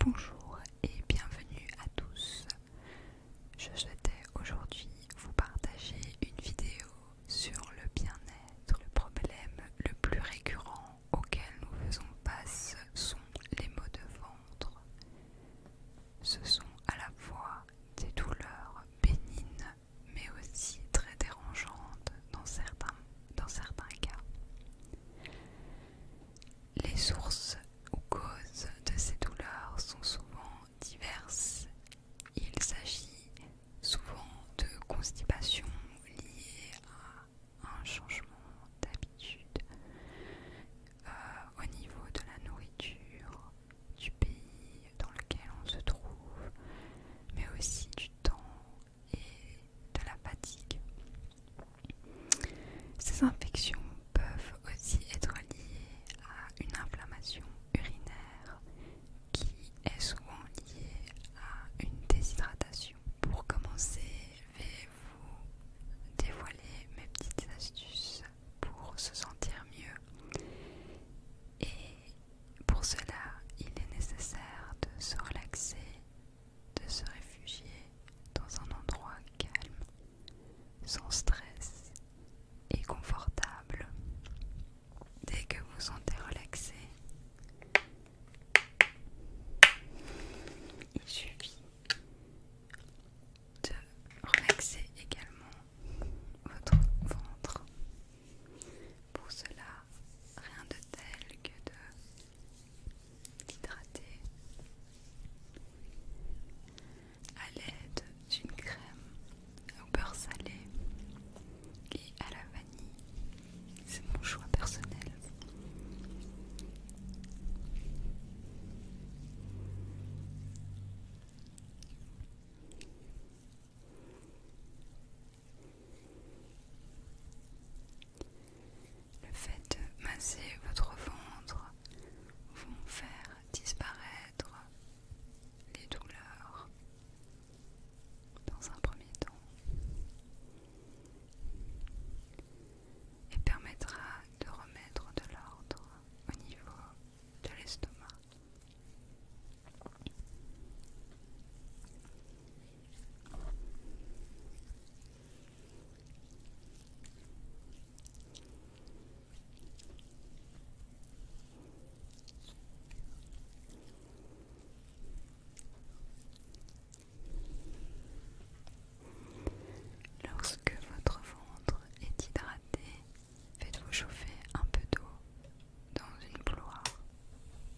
Bonjour et bienvenue à tous. Je souhaitais aujourd'hui vous partager une vidéo sur le bien-être. Le problème le plus récurrent auquel nous faisons face sont les maux de ventre. Ce sont à la fois des douleurs bénignes mais aussi très dérangeantes dans certains, dans certains cas. Les sources ou causes de ces douleurs sont souvent diverses. Il s'agit souvent de constipation liée à un changement d'habitude euh, au niveau de la nourriture, du pays dans lequel on se trouve, mais aussi du temps et de la fatigue. Ces infections peuvent aussi être liées à une inflammation urinaire qui est souvent liée à une déshydratation. Pour commencer, je vais vous dévoiler mes petites astuces pour se sentir mieux. Et pour cela, il est nécessaire de se relaxer de se réfugier dans un endroit calme, sans stress et confortable. Dès que vous sentez relaxé, il suffit de relaxer également votre ventre. Pour cela, rien de tel que de d'hydrater à l'aide d'une crème au beurre salé et à la vanille. C'est mon choix personnel. Le fait de masser votre ventre vont faire disparaître les douleurs dans un premier temps et permettra de remettre de l'ordre au niveau de l'estomac. Lorsque votre ventre est hydraté, faites-vous chauffer un peu d'eau dans une bouilloire.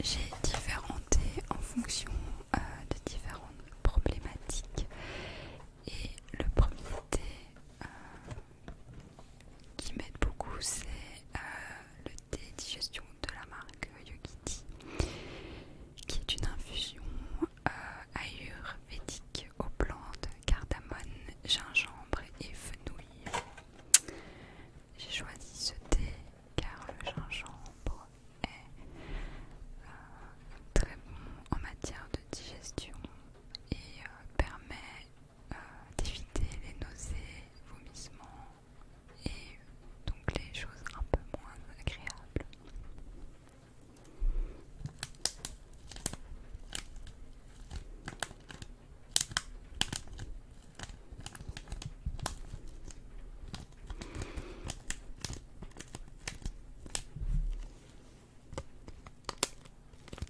J'ai différents en fonction euh, de différentes problématiques et le premier thé qui m'aide beaucoup, c'est euh, le thé digestion de la marque Yogiti, qui est une infusion euh, ayurvédique aux plantes, cardamone, gingembre et fenouil. J'ai choisi ce thé car le gingembre est euh, très bon en matière de digestion et euh, permet euh, d'éviter les nausées, vomissements et donc les choses un peu moins agréables.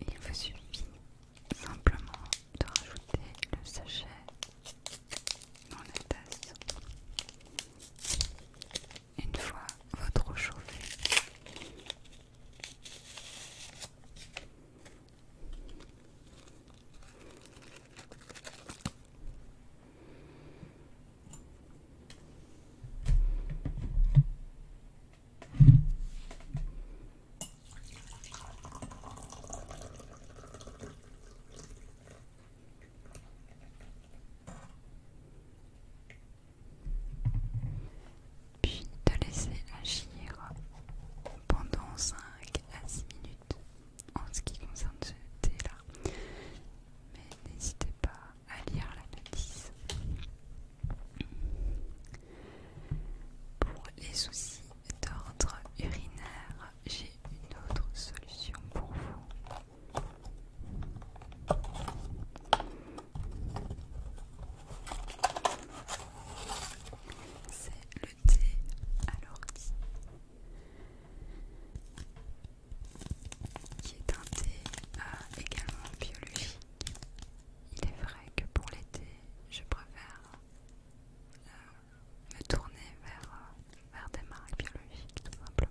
Il vous suffit simplement de rajouter le sachet dans la tasse. Une fois votre eau chauffée, puis de laisser agir pendant 5 à 6 minutes en ce qui concerne ce thé-là. Mais n'hésitez pas à lire la notice. Pour les soucis d'ordre urinaire, j'ai une autre solution pour vous. C'est le thé à l'ordi, qui est un thé euh, également biologique. Il est vrai que pour l'été, je préfère me tourner vers des marques biologiques tout simplement.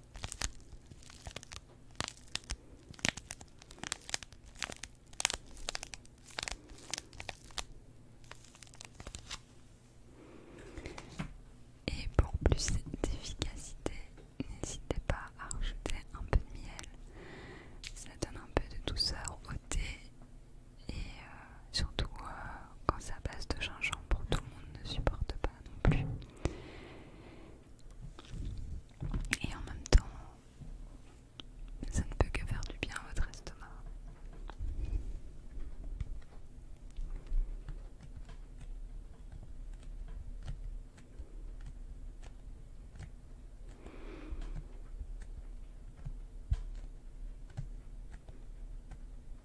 Et pour plus d'efficacité, n'hésitez pas à rajouter un peu de miel. Ça donne un peu de douceur au thé et euh, surtout euh, quand ça passe de pour tout le monde ne supporte pas non plus. Et en même temps, ça ne peut que faire du bien à votre estomac.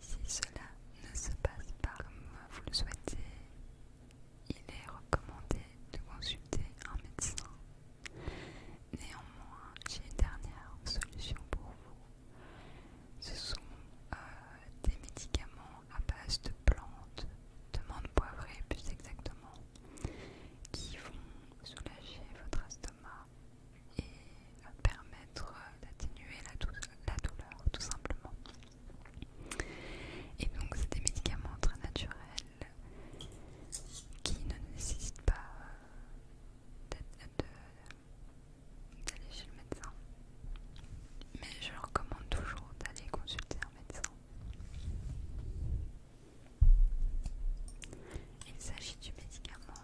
Si cela ne se passe pas comme vous le souhaitez, il est recommandé de consulter un médecin. Néanmoins, j'ai une dernière solution pour vous. Ce sont euh, des médicaments à base de plantes, de menthe poivrée plus exactement, qui vont soulager votre estomac et permettre d'atténuer la, la douleur tout simplement. Et donc c'est des médicaments très naturels qui ne nécessitent pas euh, d'aller chez le médecin. Mais je recommande toujours d'aller consulter un médecin. Il s'agit du médicament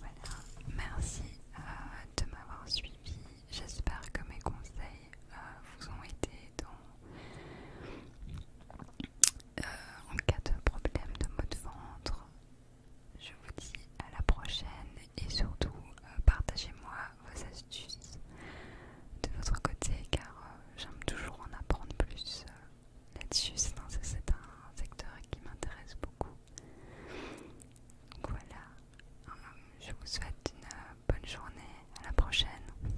Voilà, merci euh, de m'avoir suivi. J'espère que mes conseils euh, vous ont été euh, en cas de problème de maux de ventre. Je vous dis à la prochaine et surtout euh, partagez-moi vos astuces de votre côté car euh, j'aime toujours en apprendre plus là-dessus. C'est un, secteur qui m'intéresse beaucoup. voilà, je vous souhaite une bonne journée, à la prochaine.